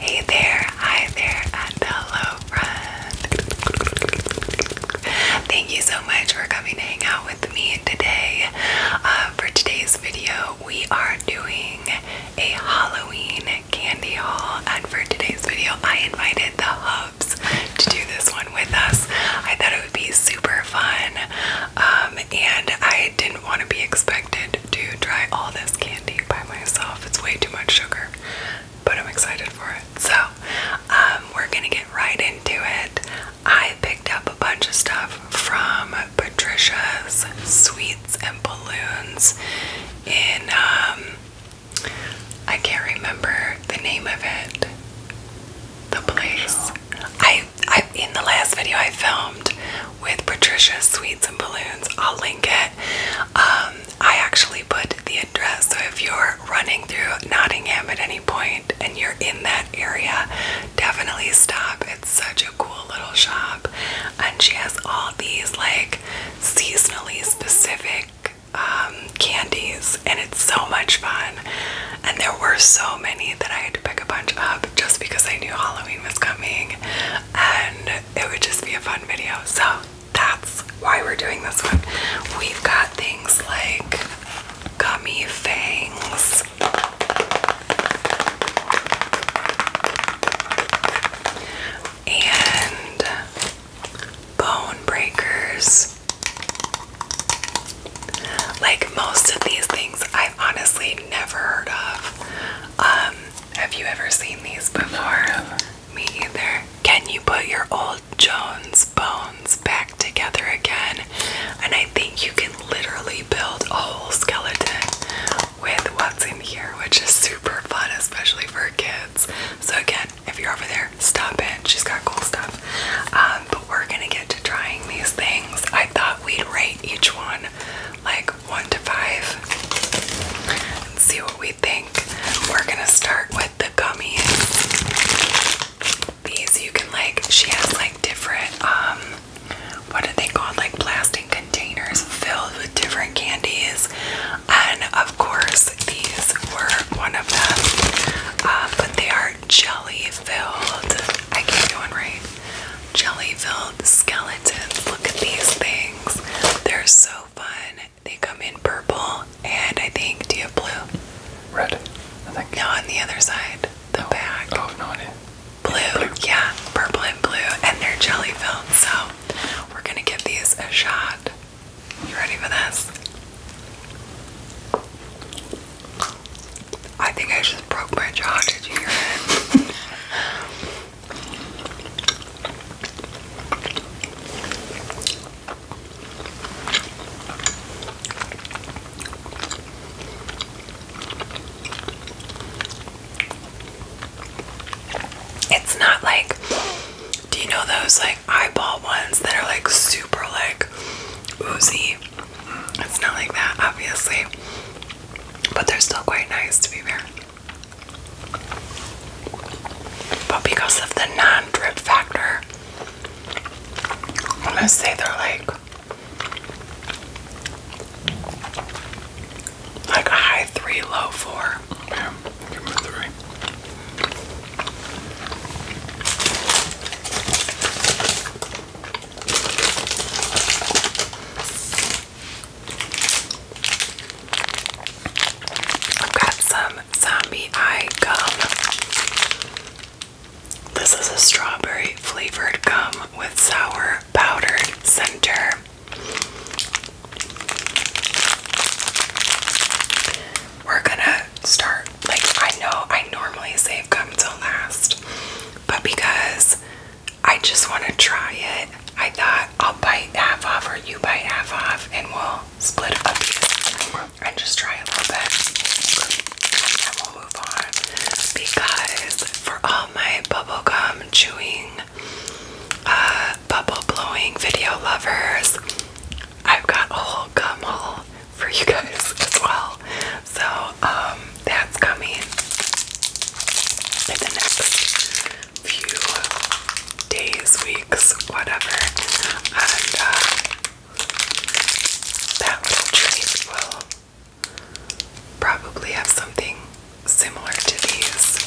Hey there, hi there, hello, friend. Thank you so much for coming to hang out with me today. Uh, for today's video, we are doing a Halloween candy haul, and for today's video, I invited the hubs to do this one with us. I thought it would be super fun. Um, and I didn't want to be expected to try all this candy by myself. It's way too much sugar, but I'm excited for it. So, um, we're gonna get right into it. I picked up a bunch of stuff from Patricia's Sweets and Balloons in, um, I can't remember the name of it, the place. I, I in the last video I filmed with Patricia Sweets and Balloons, I'll link it. Um, I actually put the address, so if you're running through Nottingham at any point and you're in that area, definitely stop. It's such a cool little shop, and she has all these like seasonally specific um, candies, and it's so much fun. And there were so many that I had to pick a bunch up just because I knew Halloween was coming and it would just be a fun video. So that's why we're doing this one. We've got things like gummy fangs. And bone breakers, like most of these things, I've honestly never heard of. Um, have you ever seen these before? Me either. Can you put your old Jones bones back together again? And I think you can literally build a whole skeleton with what's in here, which is super fun, especially for kids. So again, if you're over there, stop in. She's got cool stuff. Um, we're gonna get to trying these things. I thought we'd rate each one like one to five and see what we think. We're gonna start with the gummies. These you can like, she has like different, um, what are they called? Like plastic containers filled with different candies. And of course, these were one of them. Um, but they are jelly filled. I keep going right. Jelly filled skeletons. Look at these things. They're so fun. They come in purple and I think do you have blue? Red. I think. No, on the other side. The back. Oh no idea. Blue, blue, yeah, purple and blue, and they're jelly filled, so we're gonna give these a shot. You ready for this? I think I just broke my jaw. Did you hear It's not like, do you know those like eyeball ones that are like super like oozy? It's not like that, obviously, but they're still quite nice to be fair. But because of the non drip factor, I'm gonna say they're like like high three, low four. Yeah, give them three. I've got some zombie eye gum. This is a strawberry flavored gum with sour powdered center. We're gonna start like, I know I normally save gum till last, but because I just want to try it, I thought I'll bite half off or you bite half off and we'll split up and just try a little bit. And then we'll move on. Because for all my bubble gum chewing, uh, bubble blowing video lovers, I've got a whole gum haul for you guys as well. So um that's coming in the next few days, weeks, whatever. And uh that little treat will probably have something similar to these.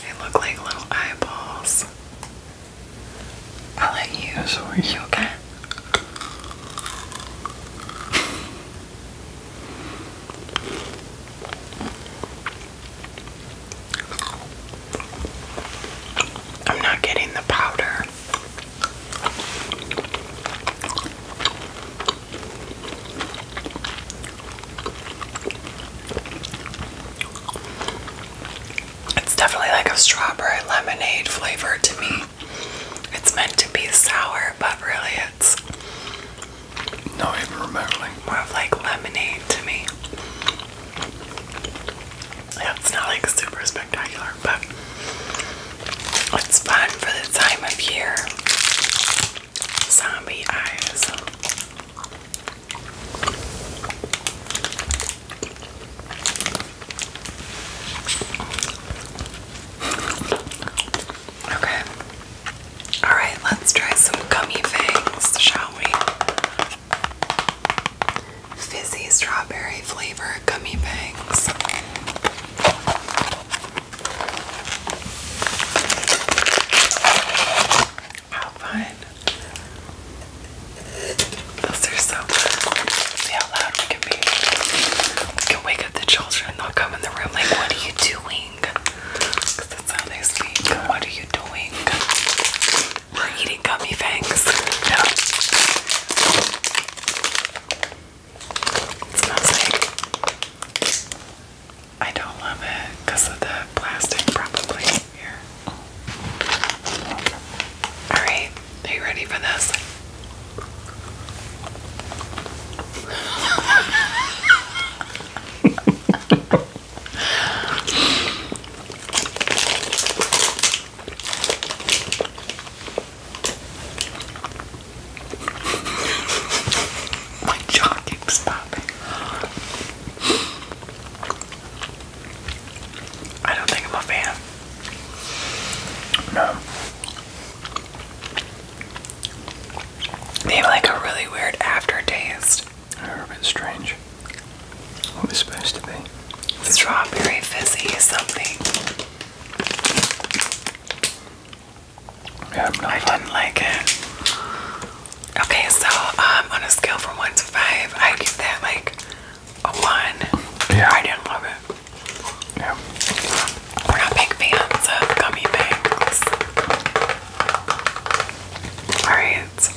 They look like little eyeballs. I'll let you so are you okay? I'm not getting the powder. It's definitely like a strawberry lemonade flavor to me. It's meant to be sour, but really it's not even remotely. More of like lemonade to me. Yeah, it's not like super spectacular, but it's fun for the time of year. Zombie eyes. Okay. All right, let's try some gummy things, shall we? Fizzy strawberry flavor gummy bangs. How fun. Those are so See how loud we can be. We can wake up the children. They'll come in the room like, what are you doing? that's how they speak. What are you doing? We're eating gummy fangs. No. It smells like... I don't love it because of the plastic probably here. All right, are you ready for this? My jaw keeps I don't think I'm a fan. No. They have like a really weird aftertaste. They're a bit strange. What was supposed to be? Strawberry fizzy something. I'm not didn't like it. Okay, so um, on a scale from one to five, I give that like one. Yeah. I didn't love it. Yeah. We're not big fans of gummy bangs. Alright.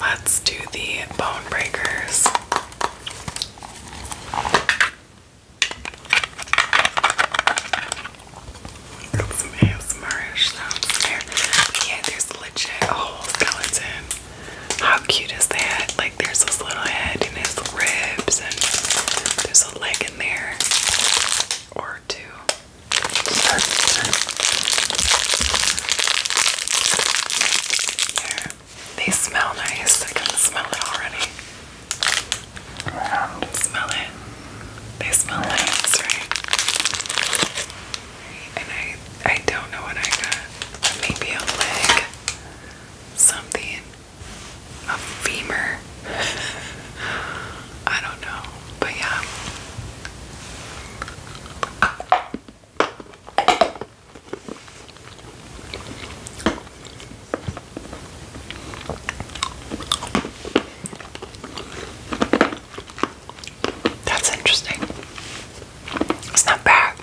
Let's do the bone breakers. Got some ASMR-ish Yeah, there's legit skeleton how cute is that? Like there's this little head in his ribs and there's a leg in there. Or two. They smell nice. I can smell it already. Smell it. They smell nice, right? and I I don't know what I got. Maybe a leg, something, a femur. I don't know, but yeah. That's interesting. It's not bad.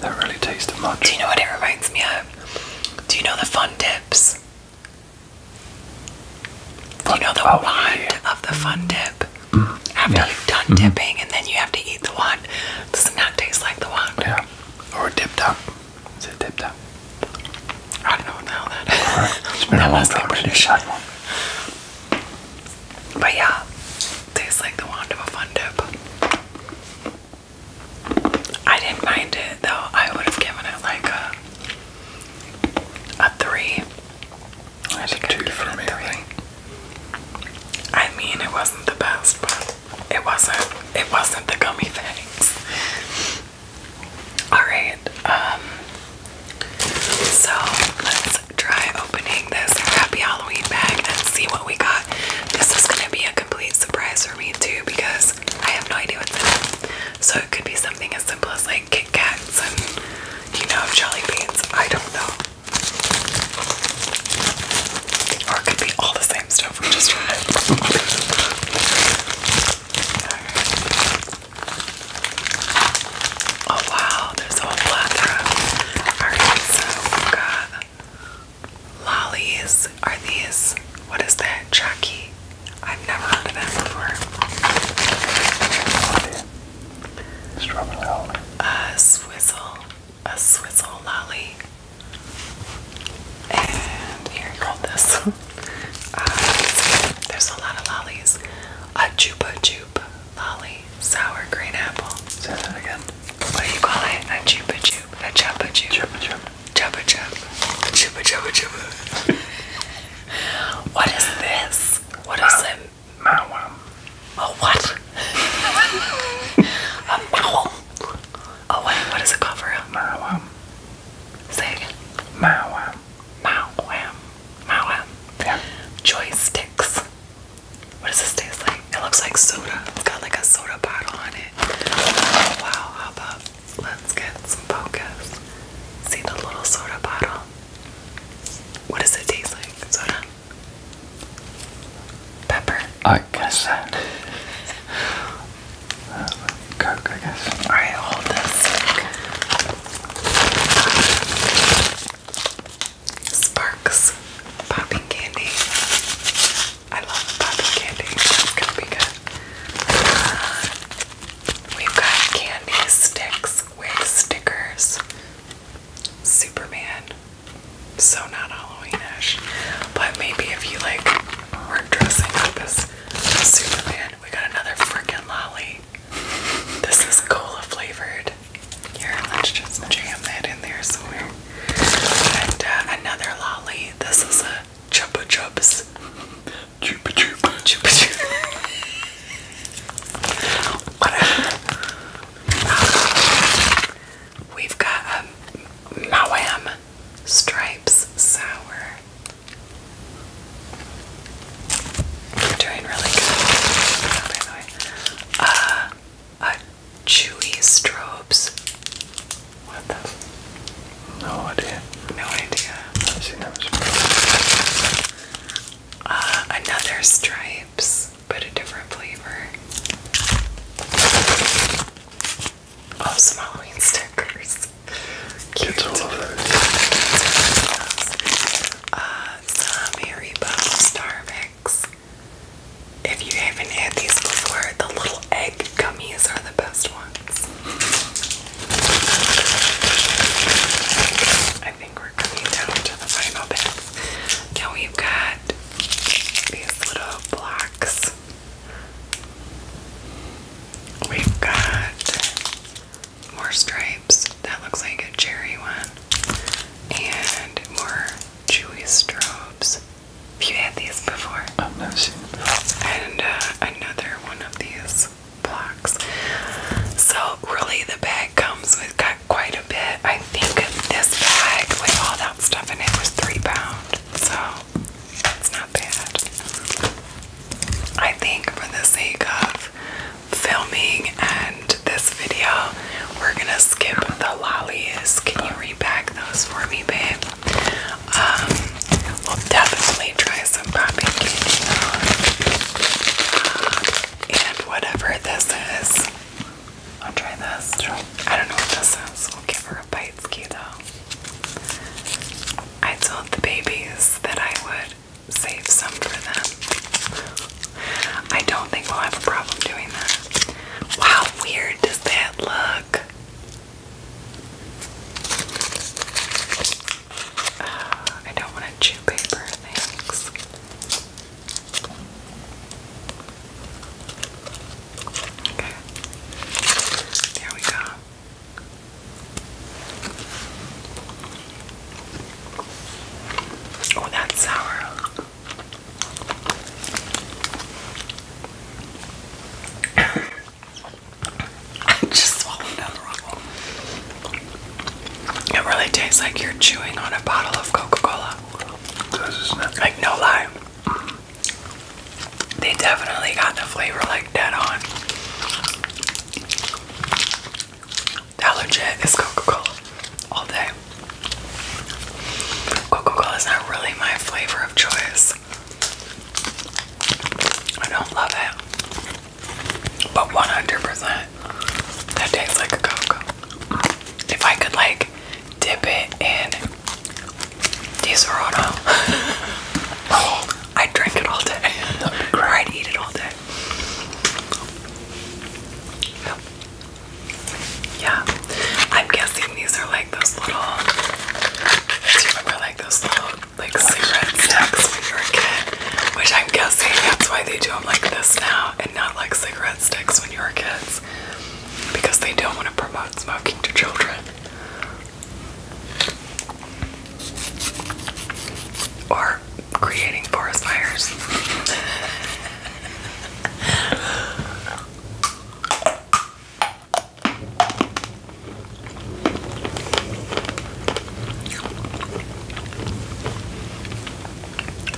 That really tasted much. Do you know what it reminds me of? Do you know the fun dips? Do you know the oh, wand of the fun dip? Mm. After you've done mm-hmm. dipping and then you have to eat the wand. Does it not taste like the wand? Yeah. Or a dip Is it a dip top? I don't know now that. it's been a long time since I had one. But yeah, tastes like the wand of a fun dip. I didn't mind it though. I would have given it like a a three. I think two for me. I mean, it wasn't the best, but it wasn't. It wasn't the gummy things. Alright, um, so let's try opening this Happy Halloween bag and see what we got. This is going to be a complete surprise for me too because I have no idea what's in it. So it could be something as simple as like Kit Kats and, you know, jelly beans. I don't know. Or it could be all the same stuff we just tried. Oh wow, there's a whole plethora. Alright, so we got lollies. Are these what is that? Chucky. I've never heard of that before. Strawberry A swizzle. A swizzle lolly. And here, you hold this. Uh, there's a lot of lollies. A Jupa Jupe lolly, sour green apple. Say that again. What do you call it? A Jupa Jupe, a Chupa Jupe. Chupa Chup. Chupa Chup. Chupa Chupa Chupa. what is this? What is it? Mawam. A what? a mawam. Oh, wait, what is it called for real? Mawam. Say again. Mawam. Malwam. Malwam. Yeah. Joy What does this taste like? It looks like soda. It's got like a soda bottle on it. wow, how about let's get some focus. See the little soda bottle? What does it taste like? Soda? Pepper? I guess that. uh, Coke, I guess. Alright, hold this. Sparks popping candy. I love popping candy. That's be good. Uh, we've got candy sticks, wig stickers, Superman. So not Halloweenish, but maybe if you like weren't dressing up as Superman, god, we got another freaking lolly. This is cola flavored. Yeah, let's just jam that in there somewhere. And uh, another lolly. This is a chupa chups. Chupa chupa. Chupa chupa. Um, we've got a um, Mawam Stripes Sour i are doing really good. by the way, uh, a uh, chewy strobes. What the? No idea. No idea. i uh, another stripes, but a different flavor. Oh, Halloween stickers. Gets all of those. Uh, some Haribo Starbucks. If you haven't had these before, the little egg gummies are the best ones. I think we're coming down to the final bit. Now we've got these little blocks. We've got more stripes. That looks like a cherry one. And more chewy strobes. Have you had these before? I've never seen before. And uh, another one of these blocks. So really the bag comes with quite a bit. I think this bag with all that stuff in it was three pound. So it's not bad. I think for the sake of filming and this video, we're gonna skip the lollies. Can you repack those for me, babe? Um, we'll definitely try some popping candy on. Uh, and whatever this is, I'll try this. I don't know what this is. We'll give her a bite ski though. I told the babies that I would save some for them. I don't think we'll have a problem doing that. how weird does that look? I don't want to chew paper, thanks. Okay. There we go. Oh, that's sour. I just swallowed down the rock. It really tastes like you're chewing on a bottle of Coca-Cola. Like no lie. They definitely got the flavor like dead on. That is Coca-Cola all day. Coca-Cola is not really my flavor of choice. I don't love it. But 100% that tastes like a Cola. If I could like dip it in these are on I'd drink it all day. Or I'd eat it all day. Yeah. I'm guessing these are like those little do you remember like those little like cigarette sticks when you were a kid? Which I'm guessing that's why they do them like this now and not like cigarette sticks when you were kids. Because they don't want to promote smoking to children. Or creating forest fires.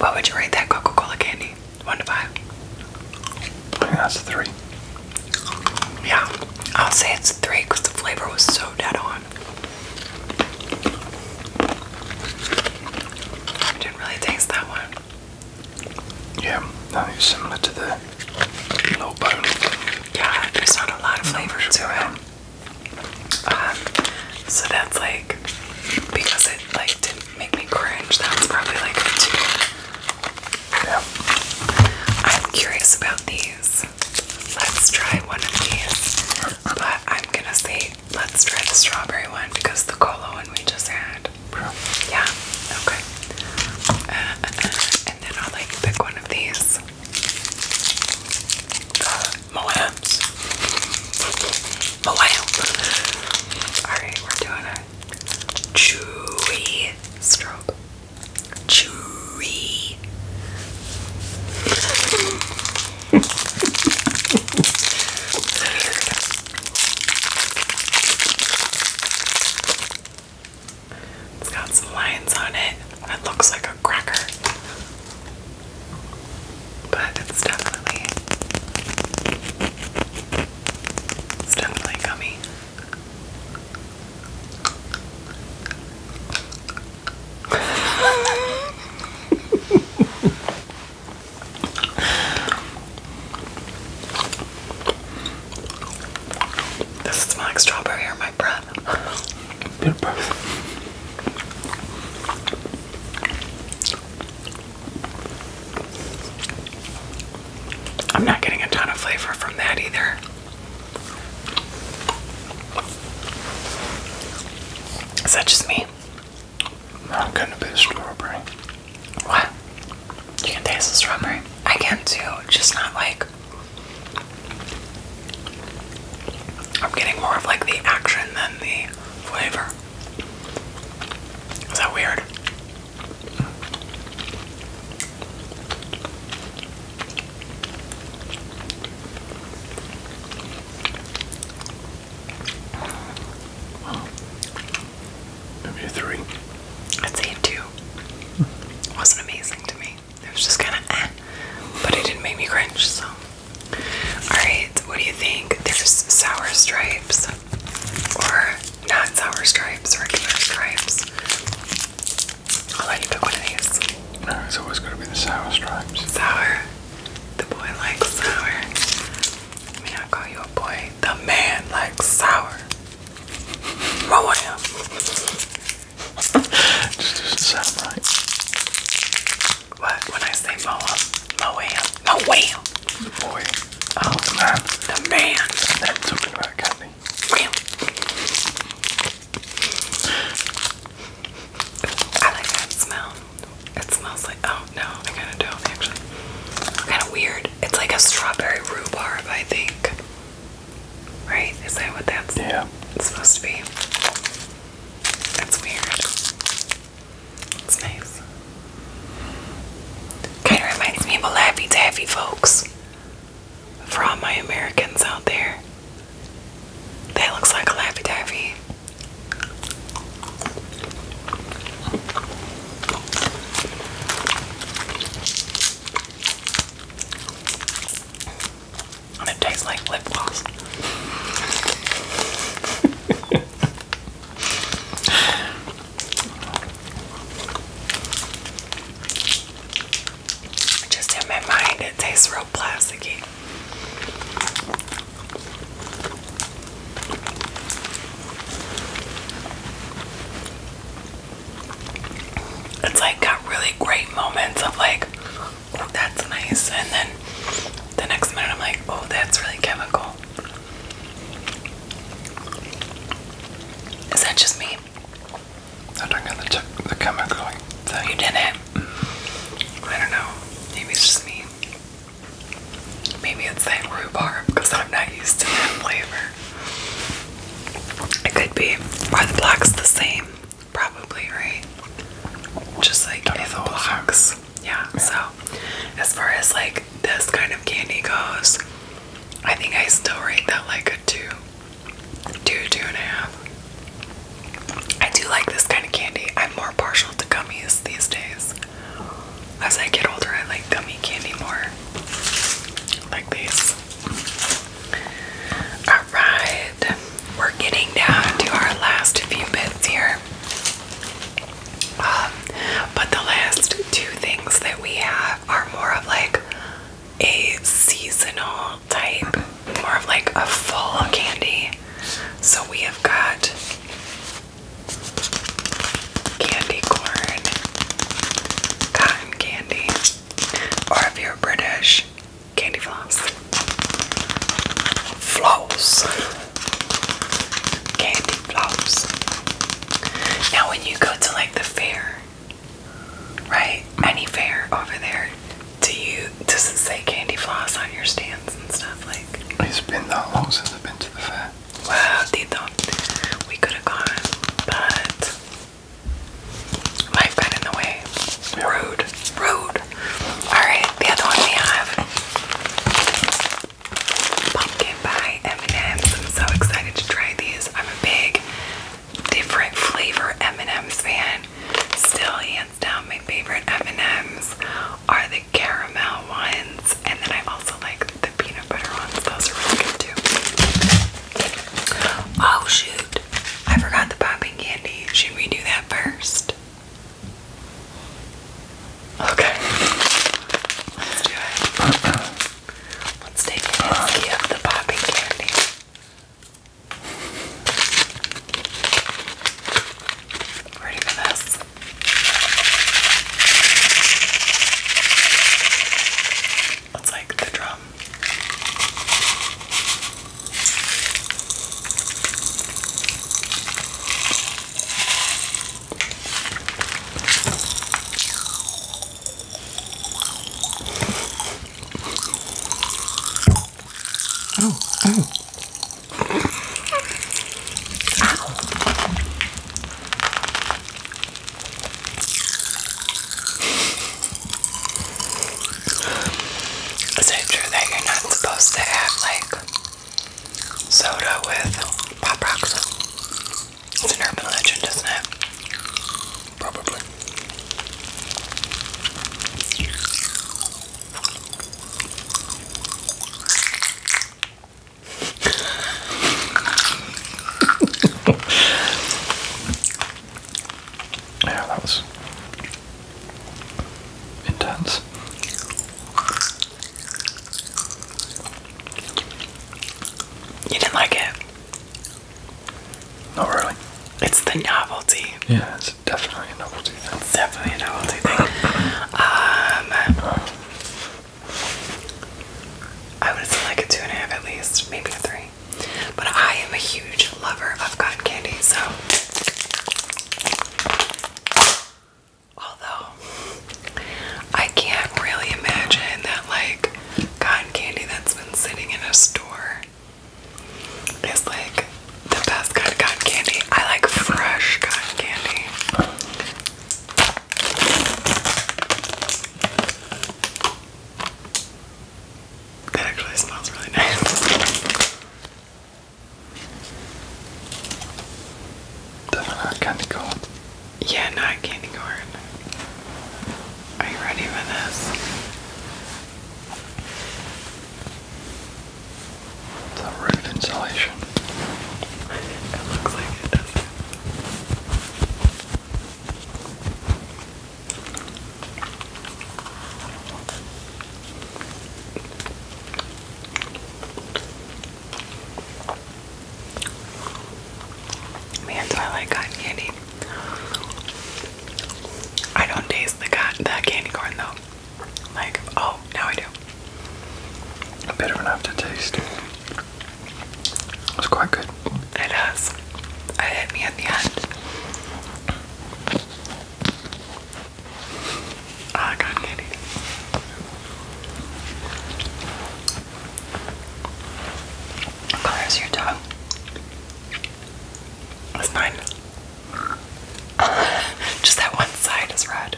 what would you rate that Coca Cola candy? One to five? that's a three. Yeah, I'll say it's three because the flavor was so dead on. I didn't really taste that one. Yeah, no, it's similar to the low bone. Yeah, there's not a lot of flavor to it. Um, so that's like because it like didn't make me cringe. That's probably like I'm curious about these. Let's try one of these. But I'm gonna say let's try the strawberry one because the cola one we just had. Yeah. Okay. Uh, uh, uh, and then I'll like pick one of these. Uh, Moabs. Moab. Alright, we're doing a chewy strobe. Tree. it's got some lines on it. It looks like a cracker. But it's definitely definitely gummy this is like strawberry or my breath. I'm not getting a ton of flavor from that either. Is that just me? I'm gonna be strawberry. What? You can taste the strawberry? I can too, just not like. I'm getting more of like the action than the flavor. Is that weird? Maybe a three. I'd say a two. It wasn't amazing to me. It was just kind of eh. but it didn't make me cringe, so. Alright, what do you think? There's sour stripes, or not sour stripes, regular stripes. I'll let you pick one of these. No, it's always going to be the sour stripes. Sour. The boy likes sour. May I call you a boy? The man likes sour. Roll Just doesn't sound right. What? When I say mow him, mow The boy. Oh. the man. The man. I'm talking about candy. I like that smell. It smells like oh no, I kinda don't actually. Kinda weird. It's like a strawberry rhubarb, I think. Right? Is that what that's yeah. supposed to be? That's weird. It's nice. Kinda reminds me folks for all my Americans out there. That looks like a Laffy Taffy. And it tastes like lip gloss. Just in my mind, it tastes real plasticky. It's like got really great moments of like, oh, that's nice, and then the next minute I'm like, oh, that's really chemical. Is that just me? I don't know the, the chemical oh, thing. You didn't? Mm-hmm. I don't know. Maybe it's just me. Maybe it's that rhubarb because I'm not used to that flavor. It could be. Are the blocks the same? Probably, right? Just like in the blocks. Yeah, yeah, so as far as like this kind of candy goes, I think I still rate that like good I do like this kind of candy. I'm more partial to gummies these days. As I get older, I like gummy candy more. Like these. Alright, we're getting down to our last few bits here. Um, but the last two things that we have are more of like a seasonal type, more of like a fall candy. So we have got candy corn, cotton candy, or if you're British, candy floss, floss, candy floss. Now, when you go to like the fair, Right? Any fair over there? Do you does it say candy floss on your stands and stuff like? It's been that long since I've been to the fair. Well, they don't. We could have gone, but life got in the way. Rude, rude. All right, the other one we have. Pumpkin pie M&Ms. I'm so excited to try these. I'm a big different flavor M&M's fan. Still, hands down, my favorite M&M's are the caramel ones, and then I also like the peanut butter ones. Those are really good too. Oh shoot! I forgot the popping candy. Should we do that first? Okay. Let's do it. Let's take a hiskey of the poppy candy. Ready for this? It's like the drum. Oh, oh. Is it true that you're not supposed to have like soda with pop rocks? It's an urban legend, does not it? Probably. yeah, that was intense. You didn't like it? Not really. It's the novelty. Yeah, it's definitely a novelty thing. It's definitely a novelty thing. um, I would say like a two and a half at least, maybe a three. But I am a huge lover of cotton candy, so although I can't really imagine that, like, cotton candy that's been sitting in a store is like the best kind of cotton candy. I like fresh cotton candy. That actually smells really nice. Definitely candy corn. Yeah, not candy corn. Are you ready for this? The roof insulation. It looks like it does. Man, do I candy. I don't taste the cotton, candy corn though. Like, oh, now I do. Bitter enough to taste. It's quite good. It does. It hit me at the end. Ah, oh, candy. What color is your dog? That's mine. Just that one side is red.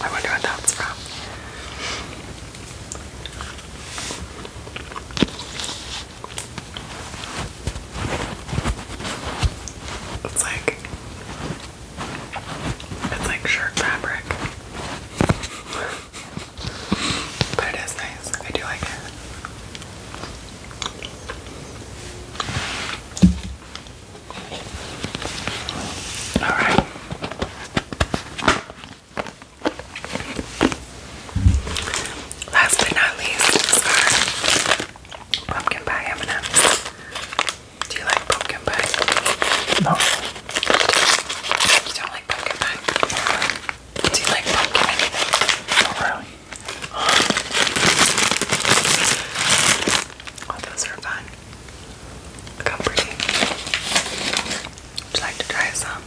I wonder what that's from. It's like it's like shirt fabric. but it is nice. I do like it. All right. Last but not least, are pumpkin pie M&M's. Do you like pumpkin pie? No. You don't like pumpkin pie? Do you like pumpkin anything? Not really. Oh, those are fun. Look Would you like to try some?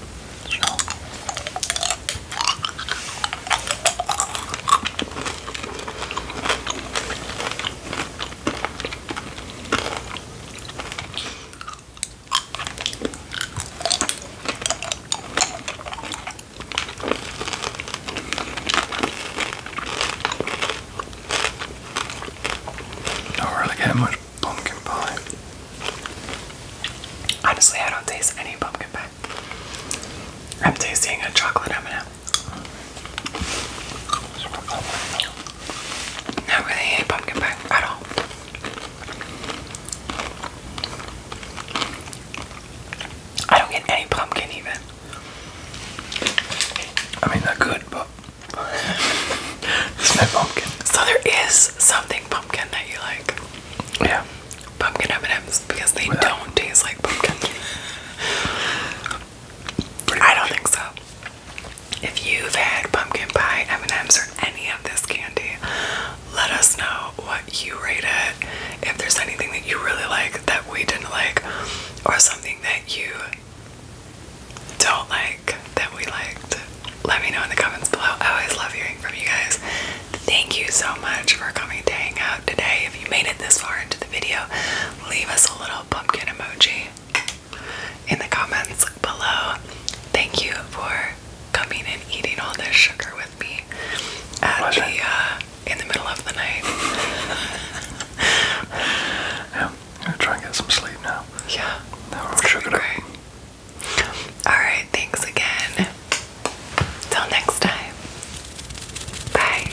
Don't really get much pumpkin pie. Honestly, I don't taste any pumpkin pie. I'm tasting a chocolate M&M. Not really any pumpkin pie at all. I don't get any pumpkin even. I mean, they good, but it's no pumpkin. So there is something pumpkin that you like. Yeah. Pumpkin M&Ms because they don't taste like pumpkin. I don't think so. If you've had pumpkin pie, M&M's, or any of this candy, let us know what you rate it. If there's anything that you really like that we didn't like, or something that you don't like that we liked, let me know in the comments below. I always love hearing from you guys. Thank you so much for coming to hang out today. If you made it this far into the video, leave us a little pumpkin emoji in the comments below. Thank you for coming and eating all this sugar with me at the uh, in the middle of the night. yeah, I'm gonna try and get some sleep now. Yeah, now we're sugared up. All right, thanks again. Till next time. Bye.